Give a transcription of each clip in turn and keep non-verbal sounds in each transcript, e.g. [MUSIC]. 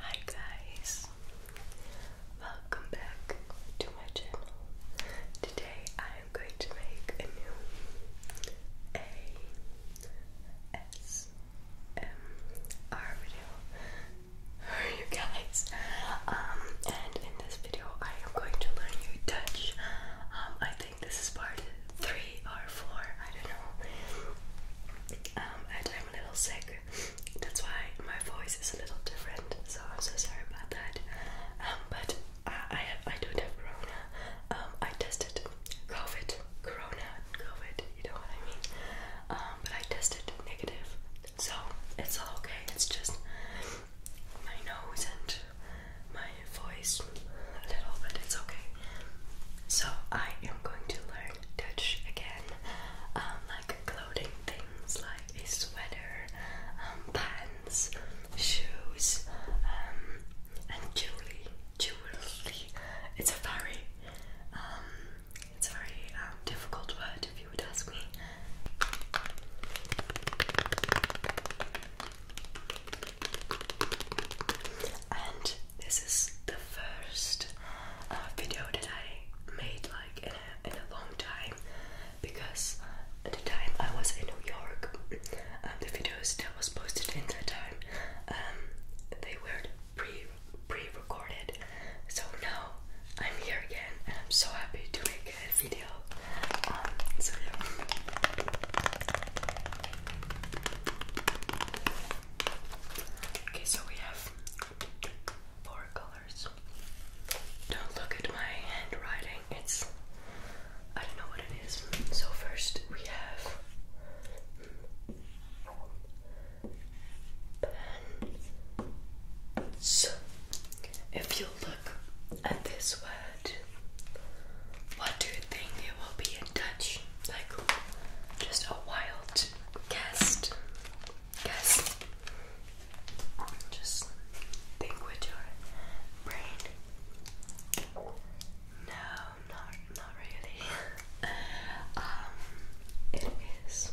Hi guys, welcome back to my channel. Today I am going to make a new ASMR video for you guys. Um, and in this video I am going to learn you Dutch. Um, I think this is part three or four, I don't know. Um, I'm a little sick, that's why my voice is a little different. So I'm so sorry about that. Um, but I have, I don't have corona. Um, I tested COVID, corona, COVID. You know what I mean. Um, but I tested negative, so it's all okay. It's just my nose and my voice a little, but it's okay. So I am going to learn touch again, um, like clothing things like a sweater, um, pants, shoes, um, and jewelry. Jewelry. It's a very, um, it's a very um, difficult word if you would ask me. And this is the first uh, video that I made like in a, in a long time because at the time I was in New York, um, the videos that was posted in that time, um, they were pre pre-recorded. So now I'm here again, and I'm so happy to make a video. Um, okay, so we have four colors. Don't look at my handwriting, it's I don't know what it is. So, first we have pens. If you look at this word, what do you think it will be in Dutch? Like just a wild guessed, guessed, Just think with your brain. No, not not really. [LAUGHS] um, it is.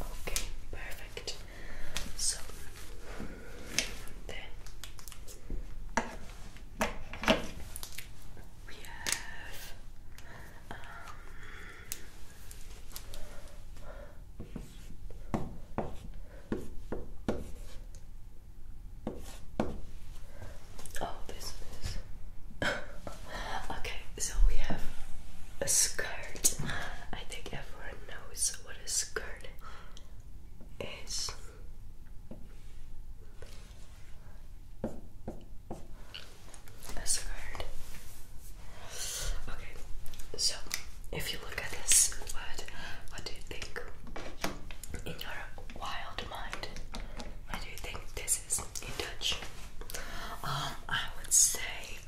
Okay, perfect. So then we have um, Oh, this is. [LAUGHS] okay, so we have a skirt. I think everyone knows what a skirt is. A skirt. Okay, so if you look at this word, what do you think in your wild mind? What do you think this is in Dutch? Um, I would say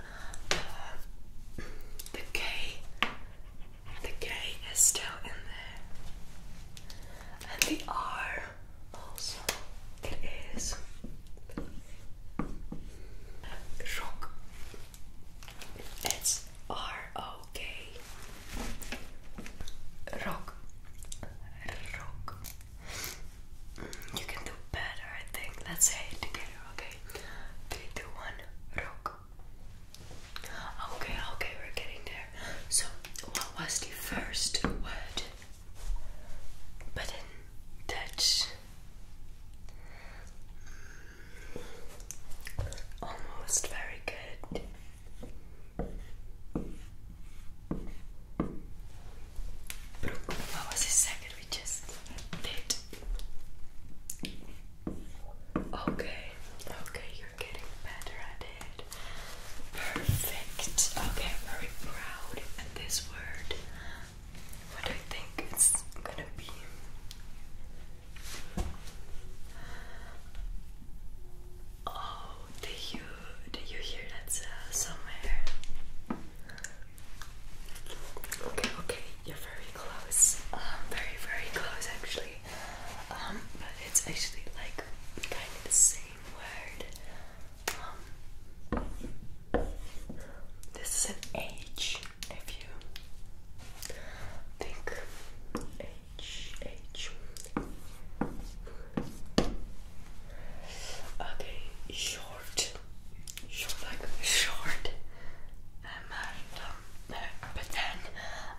uh, the K. The K is still in there, and the R also. It is it's R O K. Rock. Rock. You can do better, I think. Let's say together, okay? Three, two, one. Rock. Okay, okay, we're getting there. So, what was the first word? But in Dutch. Almost very good. What was the second we just did? Okay, okay, you're getting better at it. Perfect. Okay, very proud at this word. What do you think? It's gonna Oh, did you did you hear that somewhere? Okay, okay, you're very close. Um, very very close actually. Um, but it's actually like kind of the same word. Um, this is an H if you think H H Okay, short short like short um, uh, um uh, but then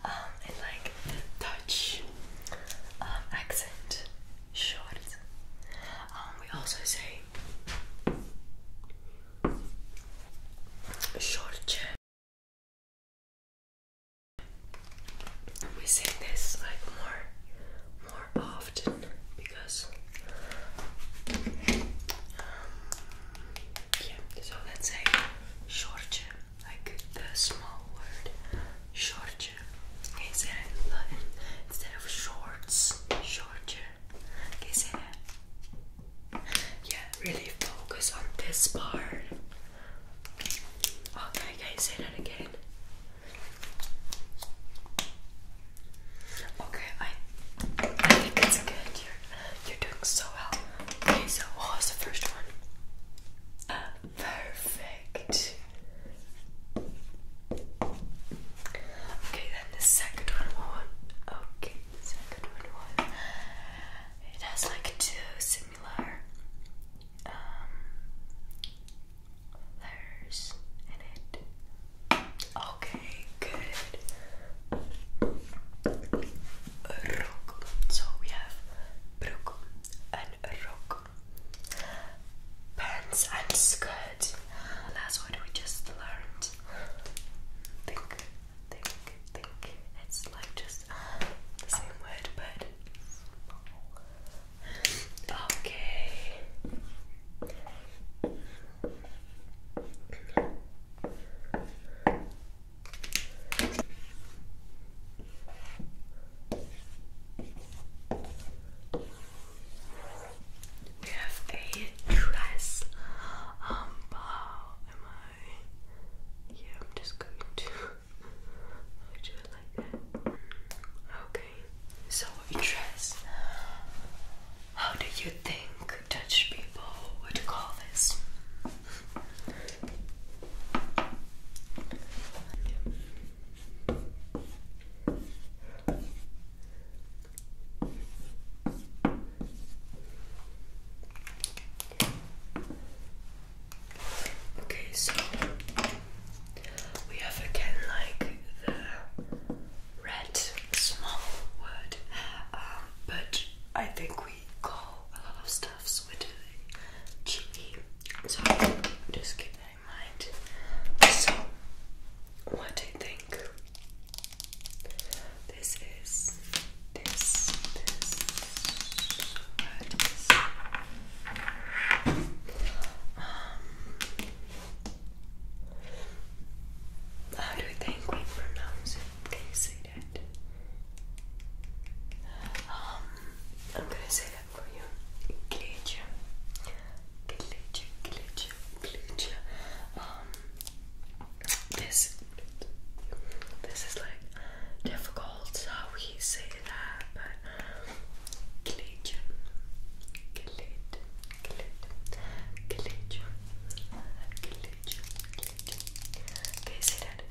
um in like Dutch um accent short um we also say Shorter. we see this like more more often because um, yeah so let's say short like the small word short instead of shorts short can you see Yeah, really focus on this part. Okay, can say that again? Okay, I, think it's good. You're, you're doing so well. Okay, so what was the first one? Uh, perfect. Okay, then the second one. Okay second one. It has like two similar um, in it. Okay, good. Rock. So we have brook and rock. Pants and skirt. That's what we just learned. think Think, think. It's like just the same word, but small. Okay we have a dress. Um, how am I? Yeah, I'm just going to do it like that. Okay, so a dress. How do you think Dutch people would call this? Okay, so we have again like the red small word, um, but I think we call a lot of stuffs with the so just keep that in mind. So, what do you think? This is this, this red is um how do you think we pronounce it? Can you say that? Um I'm gonna say that for you. Glitch. Glitch, glitch, glitch. Um this this is like difficult how we say that but collegium collegium collegium collegium okay say that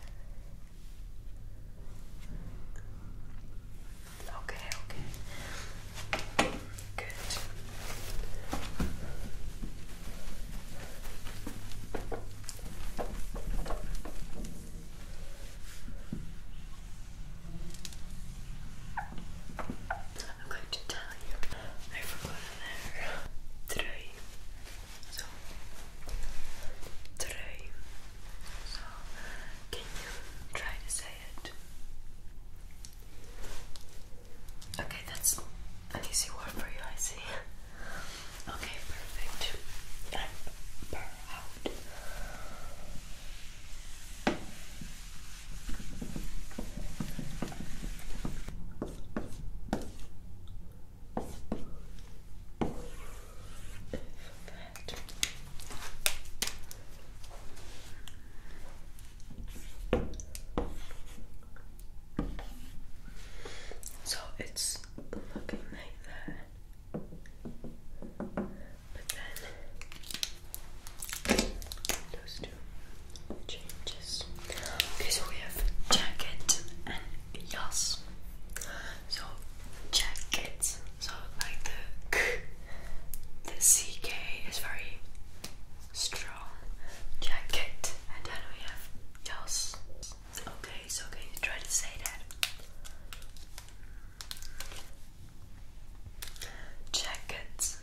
okay okay Good. I'm going to tell you, I forgot there today. So today. So can you try to say it? Okay, that's an easy word for you, I see. Okay, perfect. i so it's looking like that. But then those two changes. Okay, we have jacket and yas. So jacket. So like the ck is very strong jacket and then we have tails. Okay, so can you try to say that? Jacket,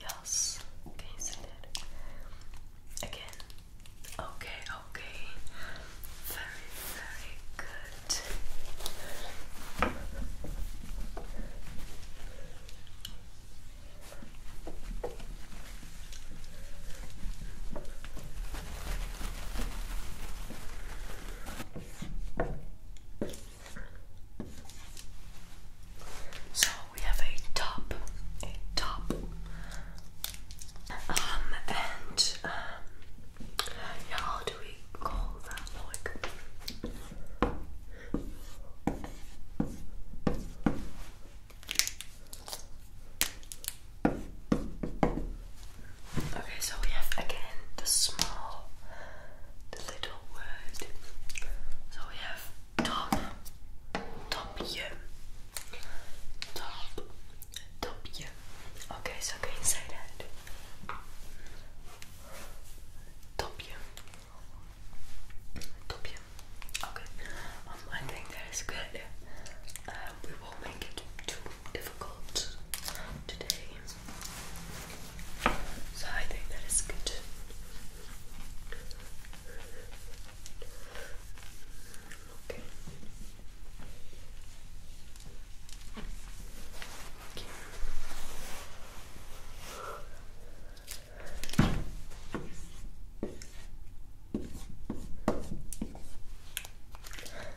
yes. Can you that? Again. Okay, okay. Very, very good. So we have a top, a top, um, and um, how do we call that? Like, Okay, so we have again the small, the little word. So we have top, top top, top Okay, so go inside that. Top Okay. Um, I think that is good. Um, we won't make it too difficult today. So I think that is good. Okay. Okay.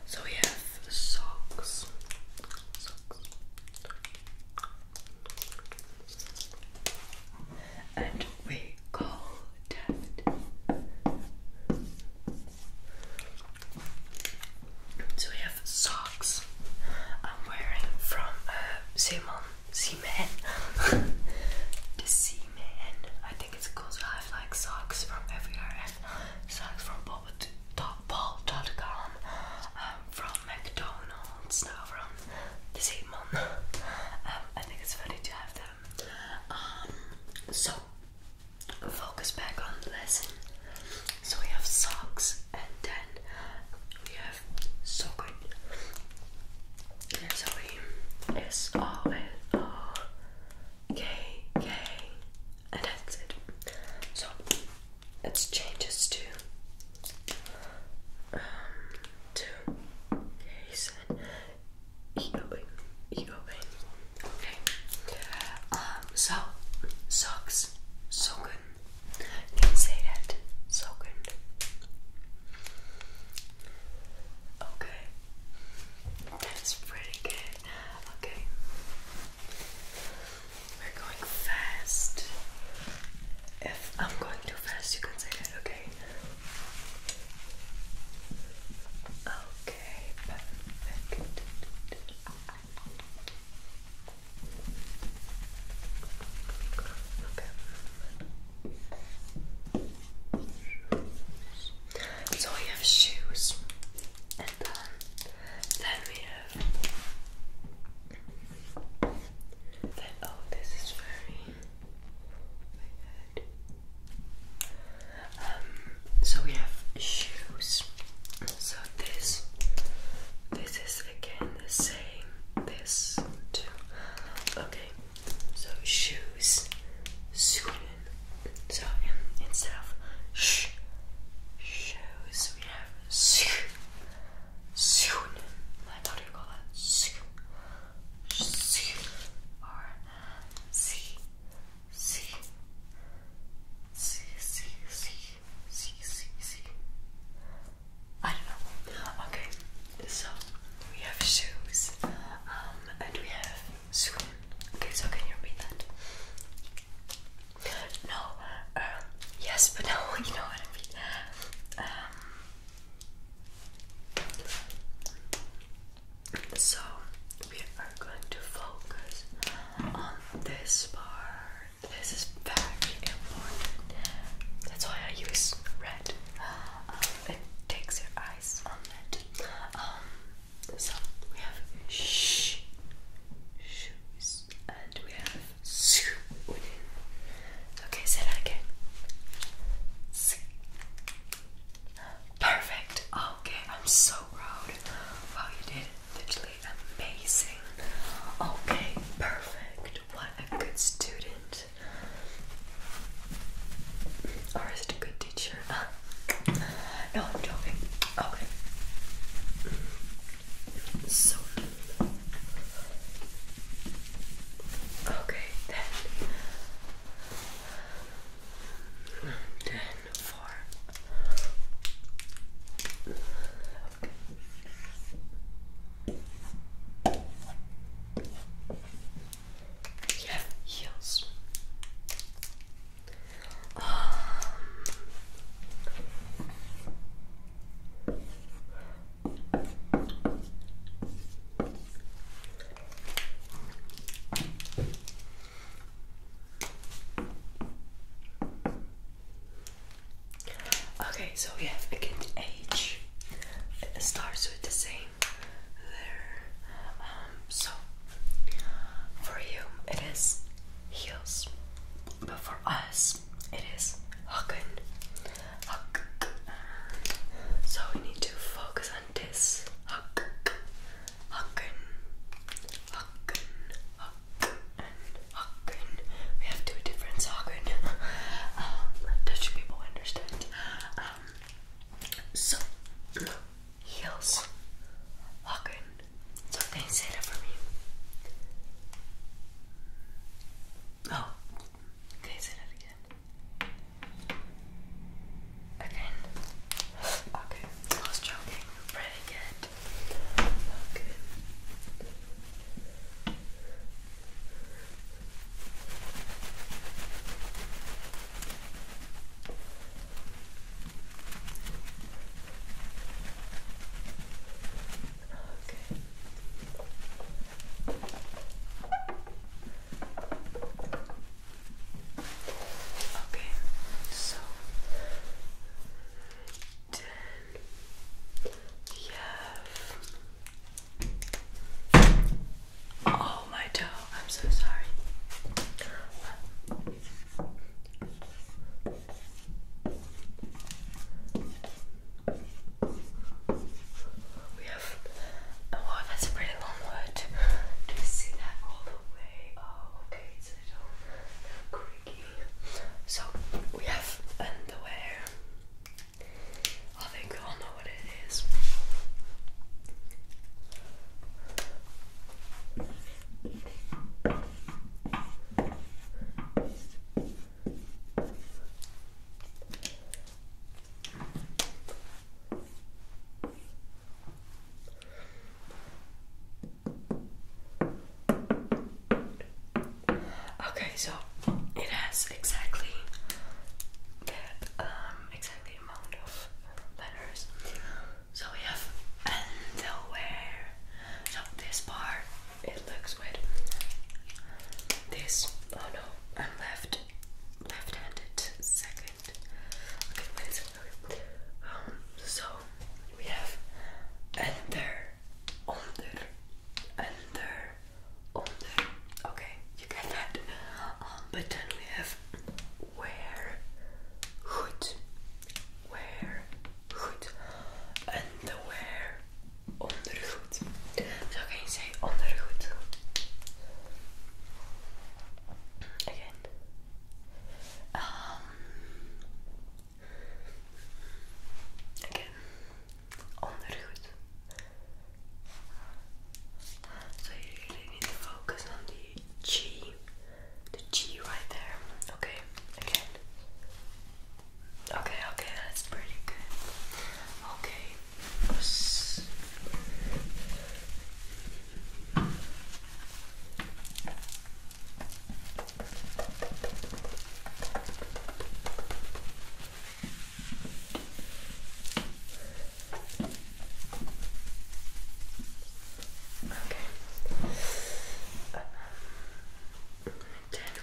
So we have socks. Socks. And we call David. So we have socks I'm wearing from uh, Simon Seaman. [LAUGHS] the Seaman. I think it's cool to have like socks from everywhere socks from Paul.com, um, from McDonald's, now from the Seaman. Um, I think it's funny to have them. Um, so, focus back on the lesson. So we have socks and then we have so good. Zoe is always okay, and that's it. So it changes to um Okay. Um, so socks, so good. Can say that. So good. Okay. That's pretty good. Okay. We're going fast. If I'm going too fast, you can say that, okay? Okay, so we have shoes, and um, then we have. oh, this is very. Weird. Um, so we have shoes. So this, this is again the this too. Okay, so shoes, Sweden. So instead of sh shoes, we have sh Sweden. Like how you call that? Sh sh or c c c c c see, don't know. Okay, so we have shoes, um, and we have soon. Okay, so can you repeat that? No, uh, yes, but [LAUGHS] no, you know what I mean. Um, so we are going to focus on this part. This is very important. That's why I use red. Um, it takes your eyes on it. Um, so we have shh, shoes, and we have within. Okay, say that again. Perfect. Okay, I'm so proud. Wow, you did Literally amazing. Okay, perfect. What a good student. Or is it a good teacher? [LAUGHS] No, I'm joking. Okay. So. Okay, then. Then for. Yes. You um. Okay, so yeah, have again H. It starts with the same um, so for you it is heels, but for us it is Haken. So we need to focus on this. Haken. Hagen. [LAUGHS] Um, um, heels. Hagen. So, can you say for me? Oh, can you say again? Again. [SIGHS] Okay, I was joking. Pretty good. Okay. Okay. Okay, so oh my toe I'm so sorry we have oh that's a pretty long word do you see that all the way oh okay so we have underwear. I think we all know what it is. Okay, so it has exactly that um exactly amount of letters. So we have underwear. So this part it looks with this. Oh no, I'm left left-handed second. Okay, wait a second. Um, so we have under, under, under, under. Okay, you get that. Um, but then we have where, hood, where, hood, under where, under hood. So you say under hood? Again. Um, Oké, ondergoed. So you need to focus on the G, the G right there. Okay, again. Okay, okay, that's pretty good. Okay. Um, then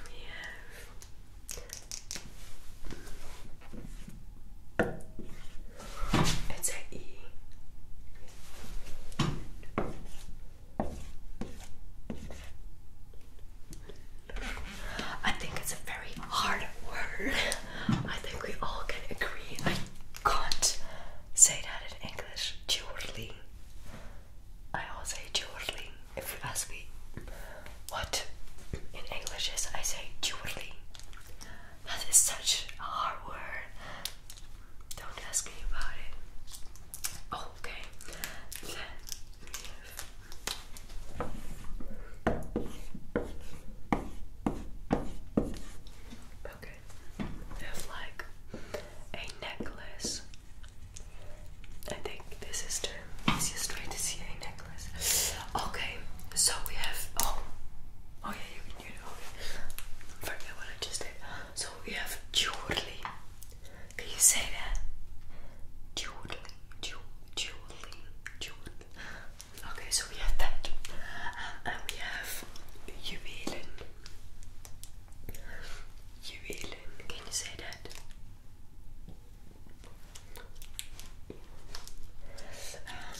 we have mm, it's an E. I think it's a very hard word. I think we all can agree. I can't say that in English. Jewelry. I all say jewelry. If you ask me what in English is, I say jewelry. That is such a hard word. Don't ask me about it. Oh, okay. Okay. There's like a necklace. I think this is the easiest way to see a necklace. Okay, so we have oh, oh yeah, you can do it. Okay, forget what I just did we have Julie. Can you say that? Julie, Julie, Julie. Okay, so we have that. Um, and we have Jubilen. Jubilen, can you say that? Um,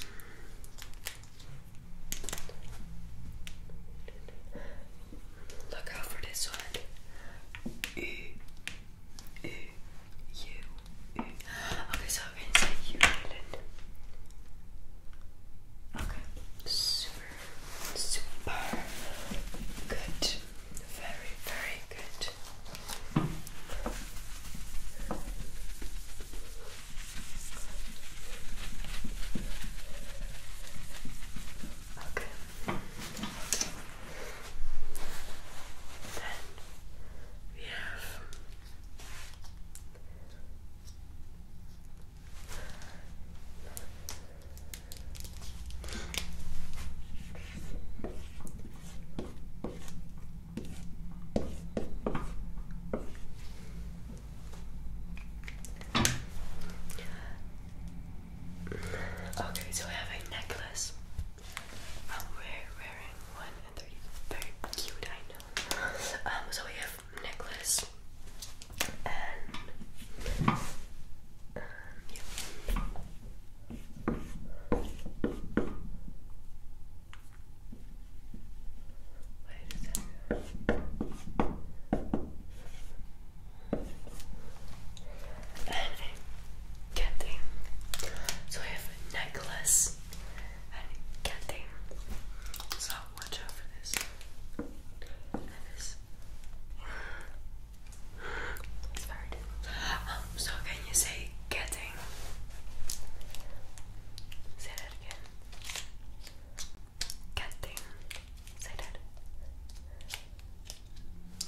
Look out for this one. U, Okay, so i U Okay, super, super good. Very, very good. Okay. Then we have Okay, so I have a necklace. I'm wearing one and they very cute, I know. Um, so we have necklace and um, Wait a So we have necklace and a So watch out for this. And um, so can you say getting? Say that again. Cat thing.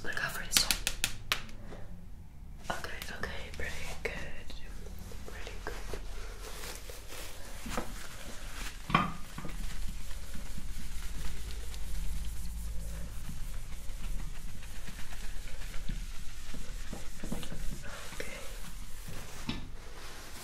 Look out for this Okay, okay, pretty good. Pretty good. Okay. Um,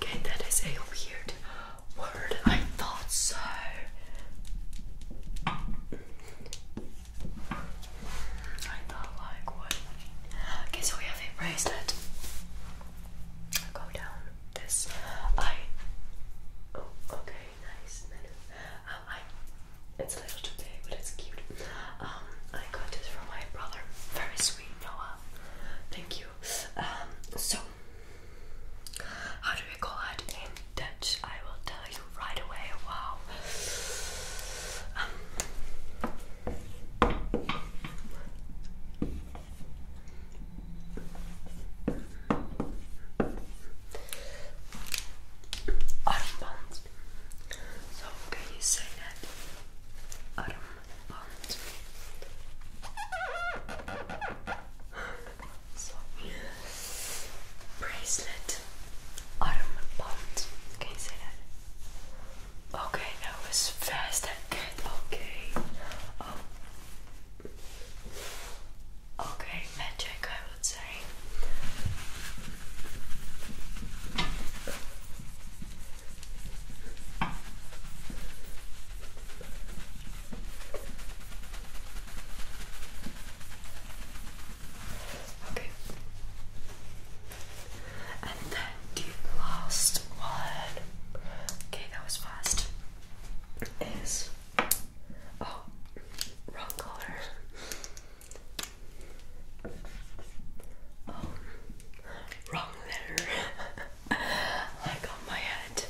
okay, that is a weird word. I thought so. I thought like what? Okay, we have a bracelet go down this I oh okay nice um, I it's a little too big but it's cute um I got this from my brother very sweet Noah thank you um so how do we call it in Dutch I will tell you right away wow um, Armband. So can you say that? Armband. so bracelet. Armband. Can you say that? Okay, that was fast and good. Okay. Oh. Okay, magic, I would say. Okay. And then the last one. Okay, that was fast. Is oh, wrong color. Oh, wrong letter. like [LAUGHS] on my head.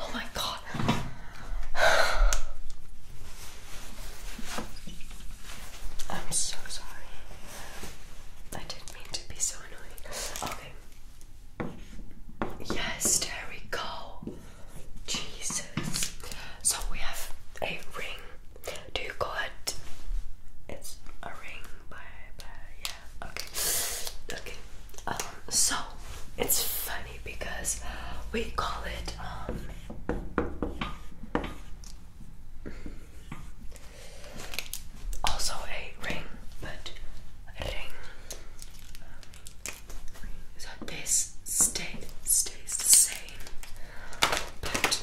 Oh my god. [SIGHS] I'm so sorry. I didn't mean to be so annoying. Okay. Yes, there we Jesus. So we have a ring. Do you call it? It's a ring, by yeah. Okay. Okay. Um, so it's five because we call it um, also a ring, but ring. Um, this state stays the same, but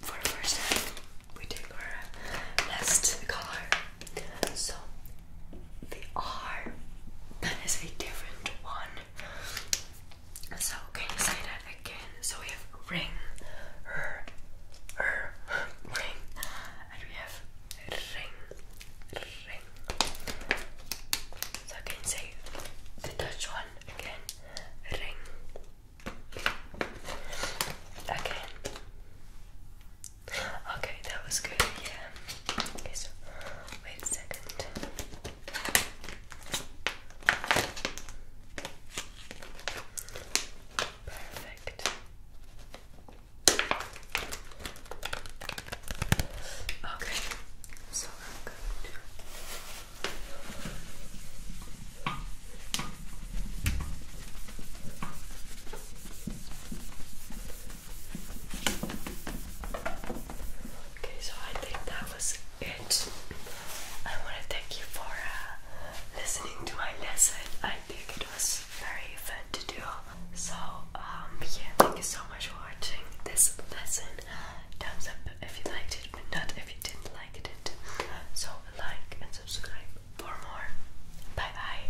for the first time we take our last color. So the R. That is a different one. So can you say that again? So we have ring, ring, and we have ring, ring. So can you say the Dutch one again? Ring. Again. Okay, that was good, yeah. Okay, so wait a second. Perfect. Okay, so i Okay, so I think that was it. I want to thank you for uh, listening to my lesson. I think it was very fun to do. So, um, yeah, thank you so much for watching this lesson. Thumbs up if you liked it, but not if you didn't like it. So, like and subscribe for more. Bye bye.